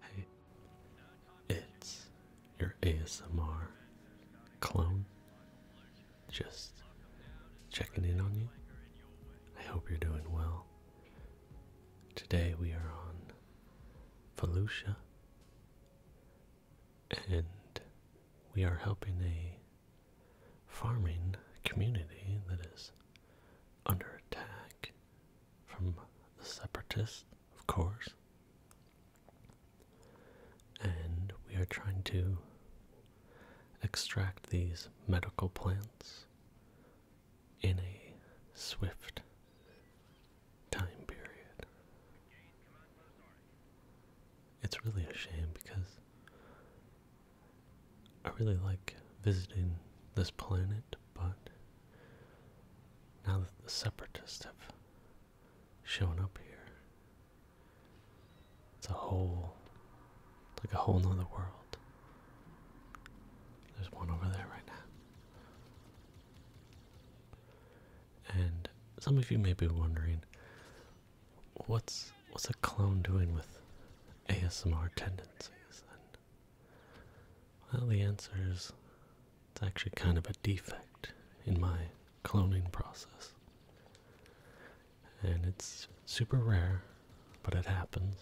Hey, it's your ASMR clone. Just checking in on you. I hope you're doing well. Today we are on Felucia and we are helping a farming community that is under attack from the separatists, of course. And we are trying to extract these medical plants in a swift time period. It's really a shame because I really like visiting this planet, but now that the separatists have shown up here, it's a whole, like a whole nother world. There's one over there right now. And some of you may be wondering, what's what's a clone doing with ASMR tendencies? well, the answer is it's actually kind of a defect in my cloning process, and it's super rare, but it happens.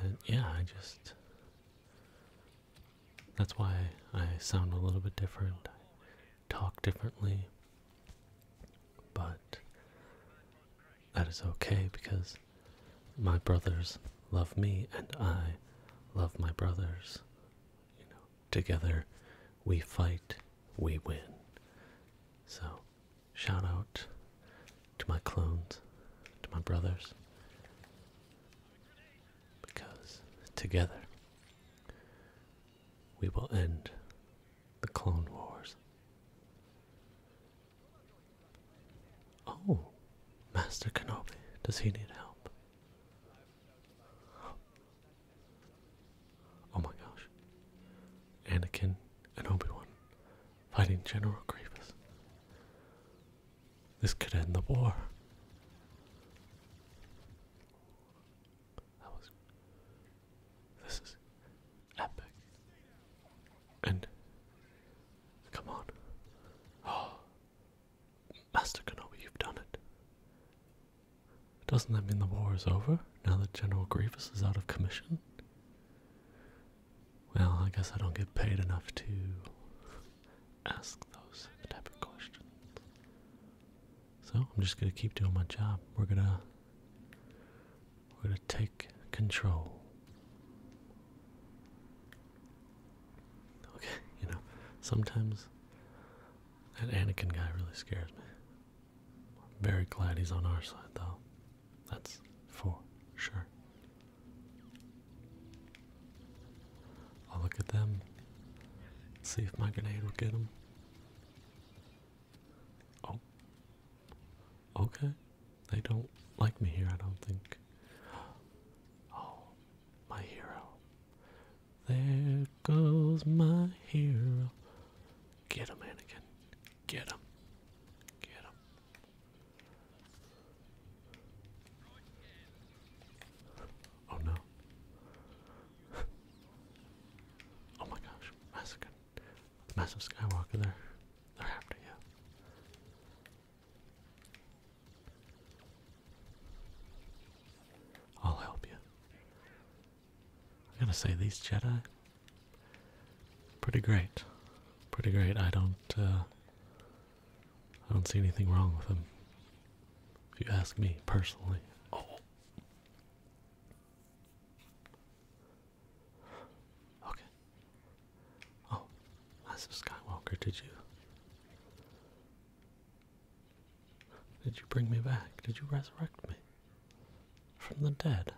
That yeah, I just that's why I sound a little bit different. I talk differently. But that is okay because my brothers love me and I love my brothers. You know, together we fight, we win. So, shout out to my clones, to my brothers, because together we will end the Clone Wars. Oh, Master Kenobi, does he need help? Oh my gosh. Anakin and Obi-Wan fighting General Grievous. This could end the war. That was. This is epic. And. Come on. Oh. Master Kenobi, you've done it. Doesn't that mean the war is over now that General Grievous is out of commission? Well, I guess I don't get paid enough to ask those type of questions. So I'm just gonna keep doing my job. We're gonna we're gonna take control. Okay, you know, sometimes that Anakin guy really scares me. very glad he's on our side though. That's for sure. I'll look at them. See if my grenade will get them. Oh. Okay. They don't like me here, I don't think. Oh, my hero. There goes my hero. Get him, Anakin. Get him. Get him. Oh no. oh my gosh, massacre massive Skywalker there. They're after you. I'll help you. I gotta say, these Jedi, pretty great. Pretty great. I don't, uh, I don't see anything wrong with them. If you ask me personally. Oh. Okay. Oh, Last Skywalker, did you? Did you bring me back? Did you resurrect me? From the dead?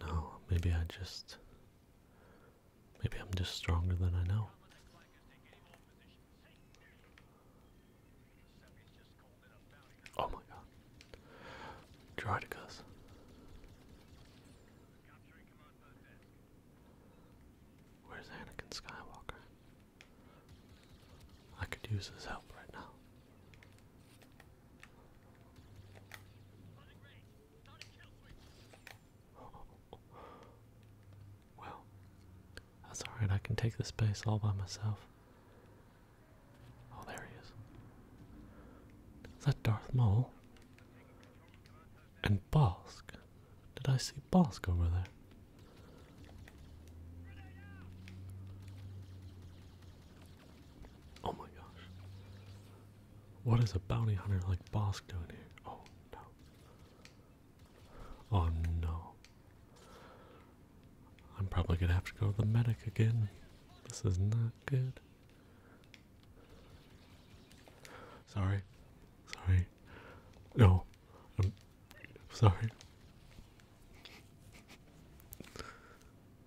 No, maybe I just. Maybe I'm just stronger than I know. Oh my god. Droidicus. Where's Anakin Skywalker? I could use his help right now. Well, that's oh, alright, I can take the space all by myself. Oh, there he is. Is that Darth Maul? And Bosk. Did I see Bosk over there? Oh my gosh. What is a bounty hunter like Bosk doing here? Oh no. Oh no. I'm probably gonna have to go to the medic again. This is not good. Sorry. Sorry. No. I'm sorry.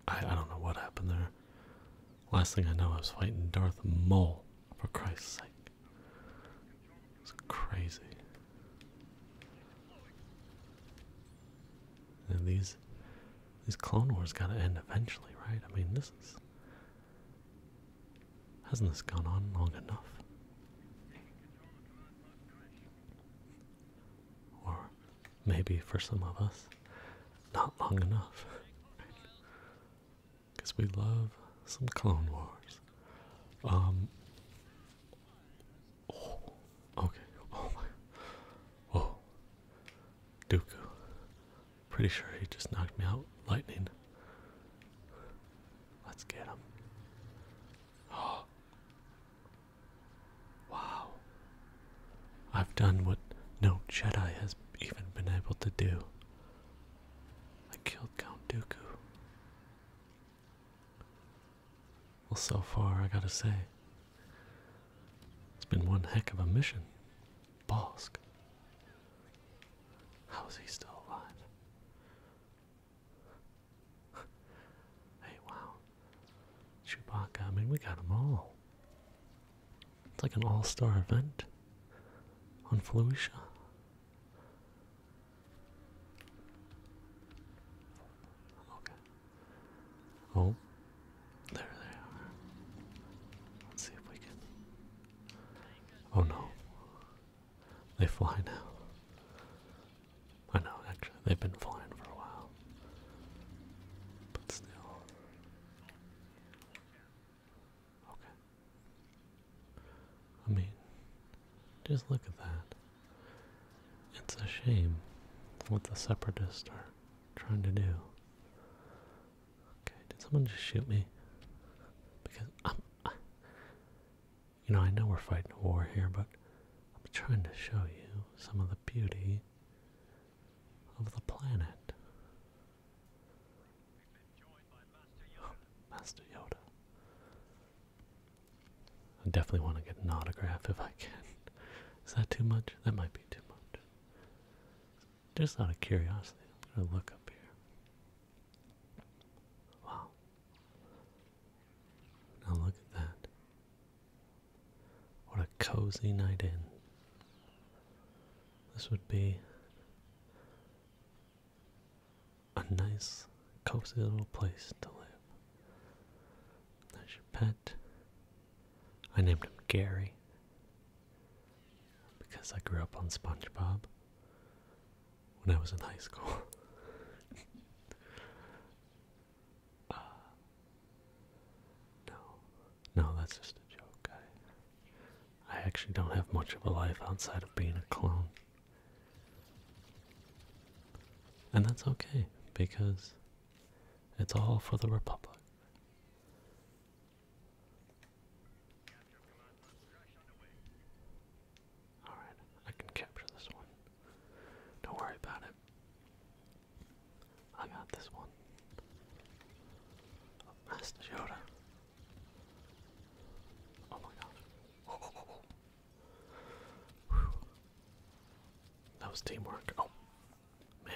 I, I don't know what happened there. Last thing I know, I was fighting Darth Maul, for Christ's sake. It's crazy. And these these Clone Wars gotta end eventually, right? I mean this is hasn't this gone on long enough? Or maybe for some of us, not long enough. Because we love some Clone Wars. Um Oh, okay. Oh my. Whoa. Oh. Dooku. Pretty sure he just knocked me out. Lightning. Let's get him. Oh. Wow. I've done what no Jedi has even been able to do. I killed Count Dooku. Well, so far, I gotta say, it's been one heck of a mission. Bosk. How is he still alive? hey, wow. Chewbacca, I mean, we got them all. It's like an all star event on Felicia. Okay. Oh, there they are. Let's see if we can. Oh no. They fly now. I know, actually, they've been flying for a while. But still. Okay. I mean, just look at that. It's a shame what the separatists are trying to do. Okay, did someone just shoot me? Because I'm. you know, I know we're fighting a war here, but I'm trying to show you some of the beauty of the planet. Master Yoda. I definitely want to get an autograph if I can. Is that too much? That might be too much. Just out of curiosity, I'm going to look up here. Wow. Now look at that. What a cozy night in. This would be a nice, cozy little place to live. That's your pet. I named him Gary because I grew up on SpongeBob when I was in high school. Uh, no, no, that's just a joke. I actually don't have much of a life outside of being a clone. And that's okay, because it's all for the Republic. Alright, I can capture this one. Don't worry about it. I got this one. Master Yoda. Oh my gosh. That was teamwork. Oh, man.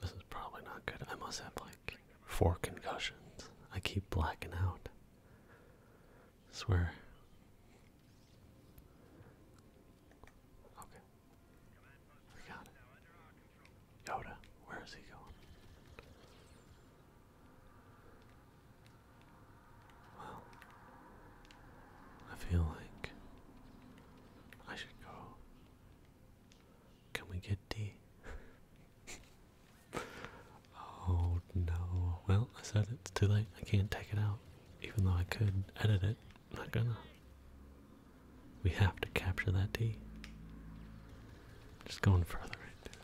This is probably not good. I must have like four concussions. I keep blacking out. swear. Okay. We got it. Yoda, where is he going? Well, I feel like I should go. Can we get tea? oh no. Well, I said it's too late. I can't take it out. Even though I could edit it, I'm not gonna. We have to capture that D. Just going further into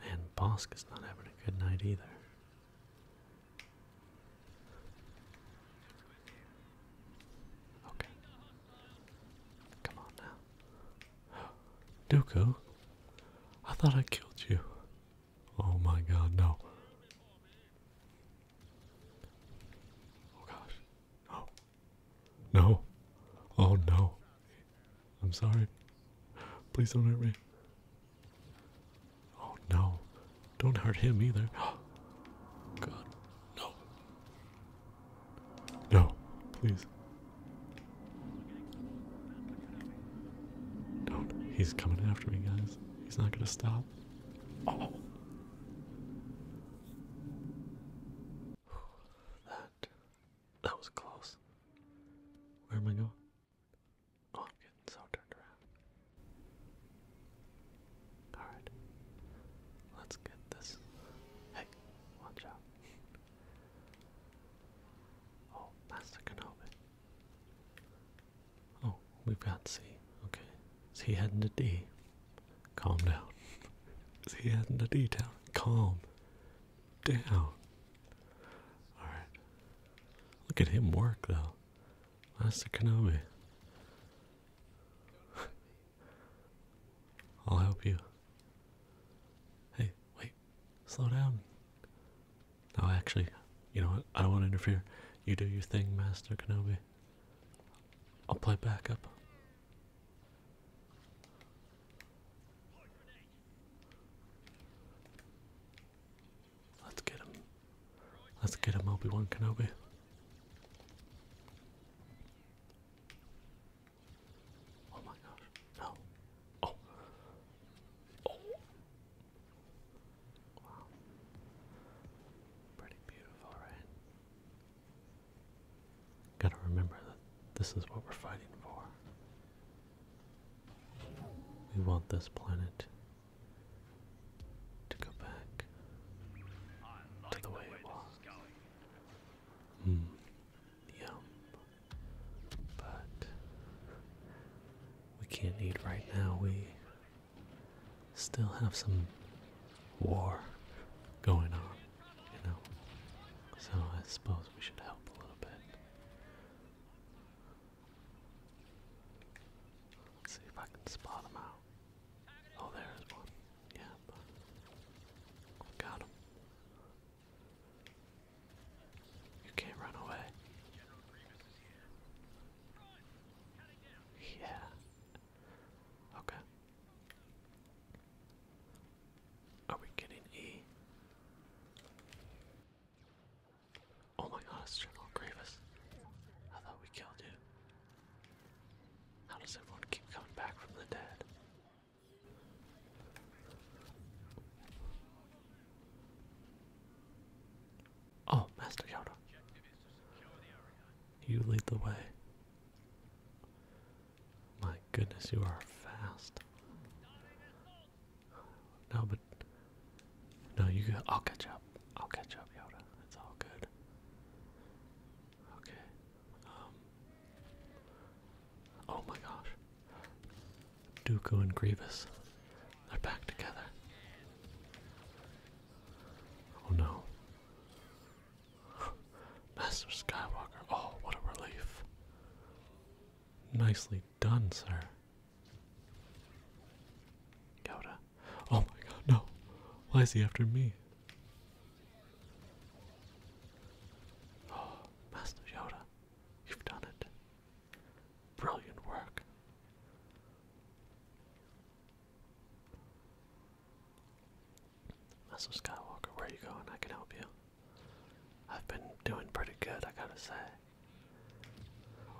Man, Bosk is not having a good night either. Okay. Come on now. Dooku? I thought I killed you. Oh my god, no. Oh gosh. Oh, no. Oh no. I'm sorry. Please don't hurt me. Oh no. Don't hurt him either. God. No. No. Please. Don't. He's coming after me, guys. He's not going to stop. Oh. That that was close. Where am I going? Oh, I'm getting so turned around. Alright. Let's get this. Hey, watch out. Oh, Master Kenobi. Oh, we've got C. Okay. Is he heading to D? Calm down. Is he heading to D town? Calm. Down. Alright. Look at him work, though. That's the Kenobi. I'll help you. Hey, wait. Slow down. No, actually, you know what? I don't want to interfere. You do your thing, Master Kenobi. I'll play backup. Let's get him. Let's get him, Obi-Wan Kenobi. Oh my gosh, no. Oh. Oh. Wow. Pretty beautiful, right? Gotta remember that this is what we're fighting for. We want this planet to go back to the way it was. Hmm, But we can't eat right now. We still have some war going on. You know? So I suppose we should help a little bit. Let's see if I can spot him out. Oh, there's one. Yeah, got him. You can't run away. Yeah. Okay. Are we getting E? Oh my god, it's General Grievous. I thought we killed you. How does everyone keep coming back from the dead? Oh, Master Yoda. You lead the way. My goodness, you are fast. No, but no, you. I'll catch up. I'll catch up, Yoda. It's all good. Okay. Um, oh my gosh. Dooku and Grievous. They're back together. Oh no. Master Skywalker, oh, what a relief. Nicely done, sir. Yoda. Oh my god, no. Why is he after me? Oh, Master Yoda, you've done it. Brilliant work. Mr. Skywalker, where are you going? I can help you. I've been doing pretty good, I gotta say.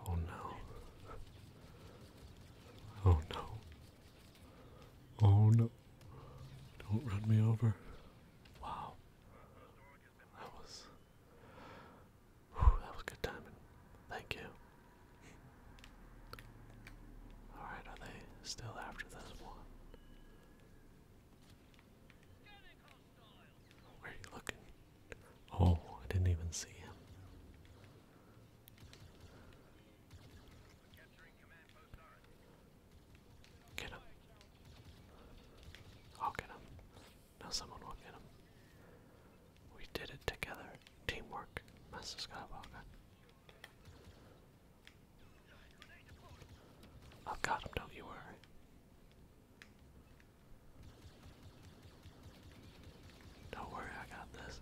Oh no. Oh no. Oh no. Don't run me over. Wow. That was. that was good timing. Thank you. Alright, are they still after this one? Where are you looking? Oh, I didn't even see him. Get him. i get him. Now someone will get him. We did it together. Teamwork. Master Skywalker. I've oh, got him, don't you worry. Don't worry, I got this.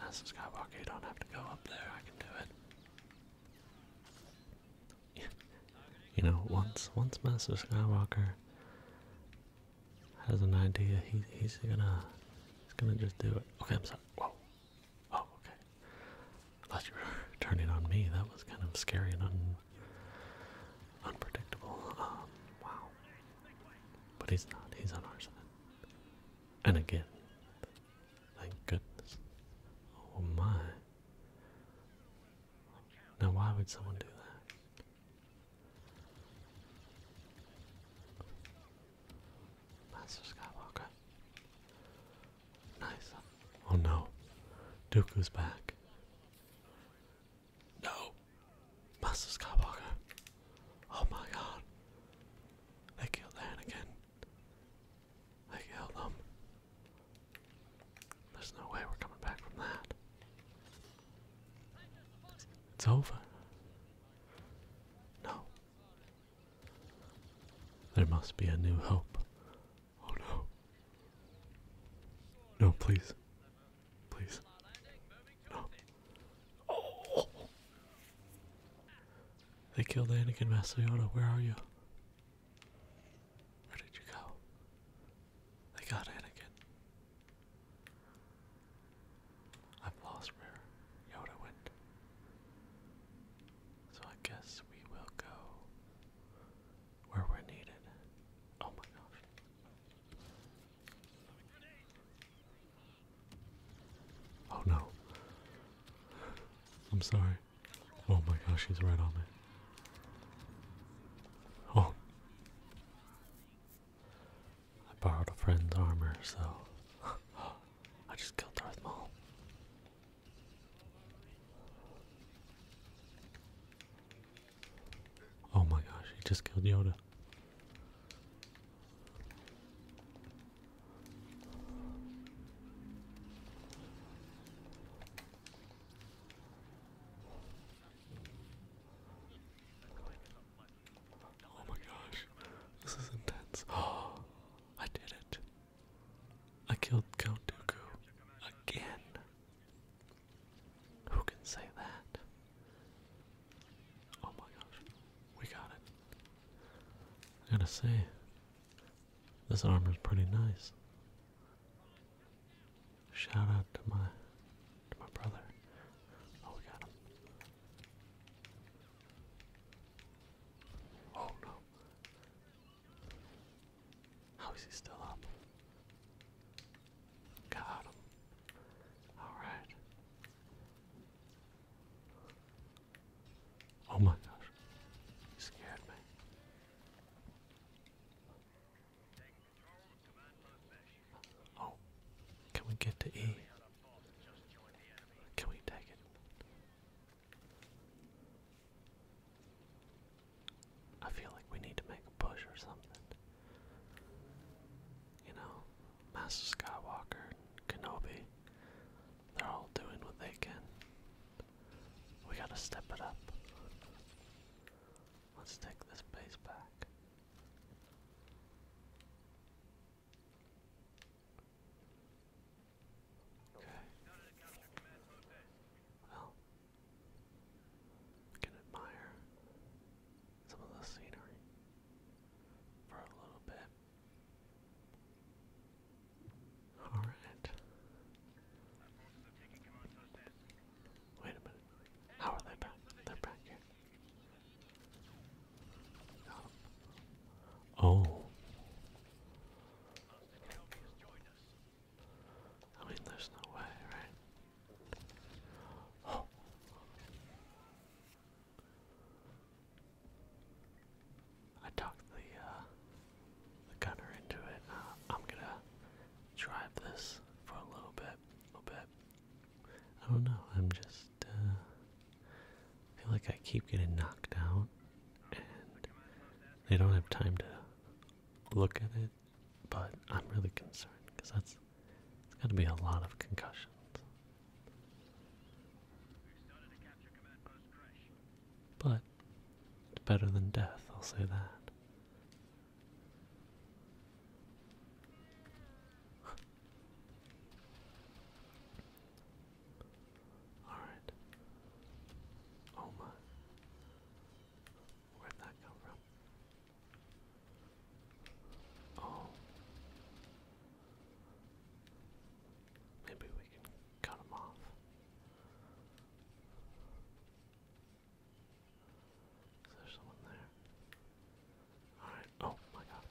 That's Skywalker, you don't have to go up there, I can do it. you know, once once Master Skywalker has an idea, he, he's gonna he's gonna just do it. Okay, I'm sorry. Whoa, Oh, okay. I you were turning on me. That was kind of scary and unpredictable. Um, wow. But he's not. He's on our side. And again, thank goodness. Oh my. Now, why would someone do that? Master Skywalker. Nice. Oh no. Dooku's back. No. Master Skywalker. Oh my god. They killed Anakin. They killed them. There's no way we're coming back from that. It's over. No. There must be a new hope. Oh no. No, please. Please. No. Oh! They killed Anakin Masayoda. Where are you? Where did you go? They got Anakin. I've lost where Yoda went. So I guess we will go where we're needed. Oh my gosh. Oh no. I'm sorry. Oh my gosh, he's right on me. Oh. I borrowed a friend's armor, so I just killed Darth Maul. Oh my gosh, he just killed Yoda. Oh my gosh, this is intense. Oh, I did it. I killed Count Dooku again. Who can say that? Oh my gosh, we got it. I gotta say, this armor is pretty nice. Shout out to my to my brother. Oh, we got him. Oh no. How is he still up? Got him. Alright. Oh my gosh. scared me. Oh. Can we get to E? Can we take it? I feel like we need to make a push or something. You know, Master Skywalker, Kenobi, they're all doing what they can. We gotta step it up. Let's take this base back. Okay. Well, we can admire some of the scenery for a little bit. Alright. Wait a minute. How are they back? They're back here. Oh. I mean, there's no way, right? Oh. I talked the uh, the gunner into it. Uh, I'm gonna drive this for a little bit, a little bit. I don't know. I'm just uh, I feel like I keep getting knocked out, and they don't have time to look at it. But I'm really concerned because that has got to be a lot of concussions. But it's better than death, I'll say that. Alright. Oh my. Where'd that come from? Oh. Maybe we can cut him off. Is there someone there? Oh my god.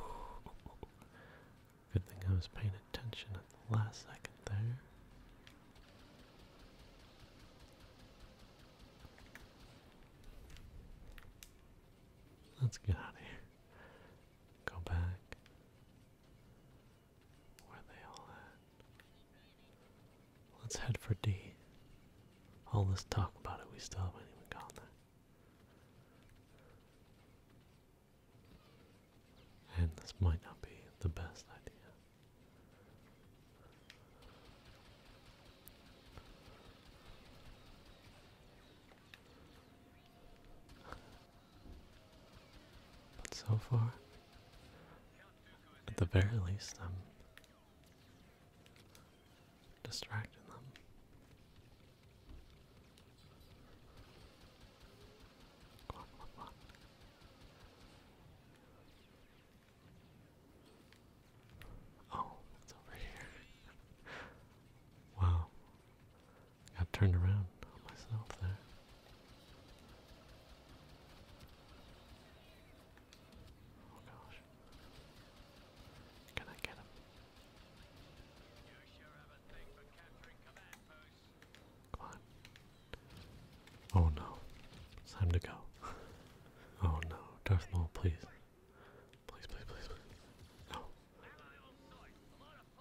Good thing I was paying attention at the last second there. Let's get out of here. Go back. Where are they all at? Let's head for D all this talk about it, we still haven't even gotten there. And this might not be the best idea. But so far, at the very least, I'm distracting them. Oh, it's over here. wow. Got turned around myself there. Oh gosh. Can I get him? Come on. Oh no. It's time to go. oh no. Darth Maul, please. Please, please, please, No.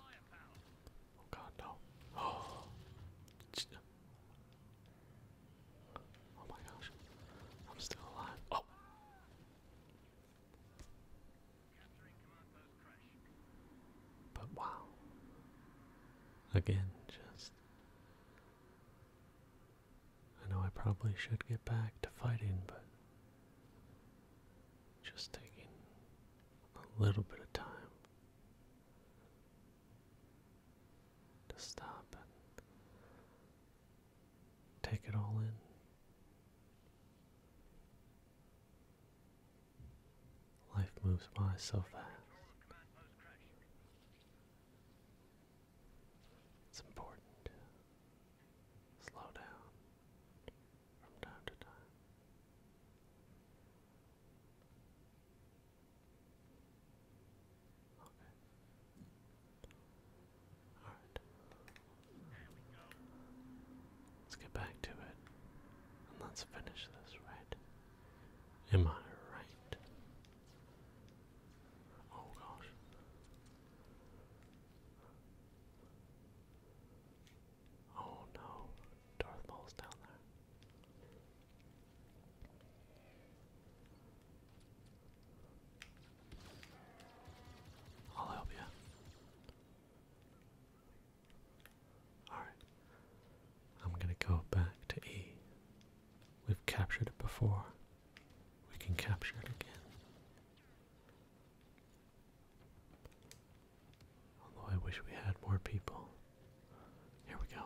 Oh god, no. Oh. Oh my gosh. I'm still alive. Oh! But wow. Again, just. I know I probably should get back to fighting, but. Just taking a little bit of time to stop and Take it all in. Life moves by so fast. It's important slow down from time to time. Let's get back to it. let's finish this right. Am I right? Oh gosh. Oh no. Darth Maul's down there. I'll help you. Alright. I'm gonna go back to E. We've captured it before. We can capture it again. Although I wish we had more people. Here we go.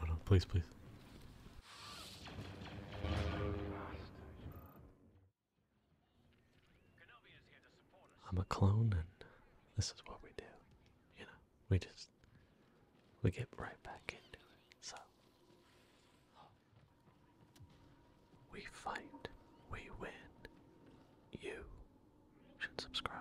No, no, please, please. I'm a clone, and this is what we do. You know, we just we get right back into it. So we fight, we win. You should subscribe.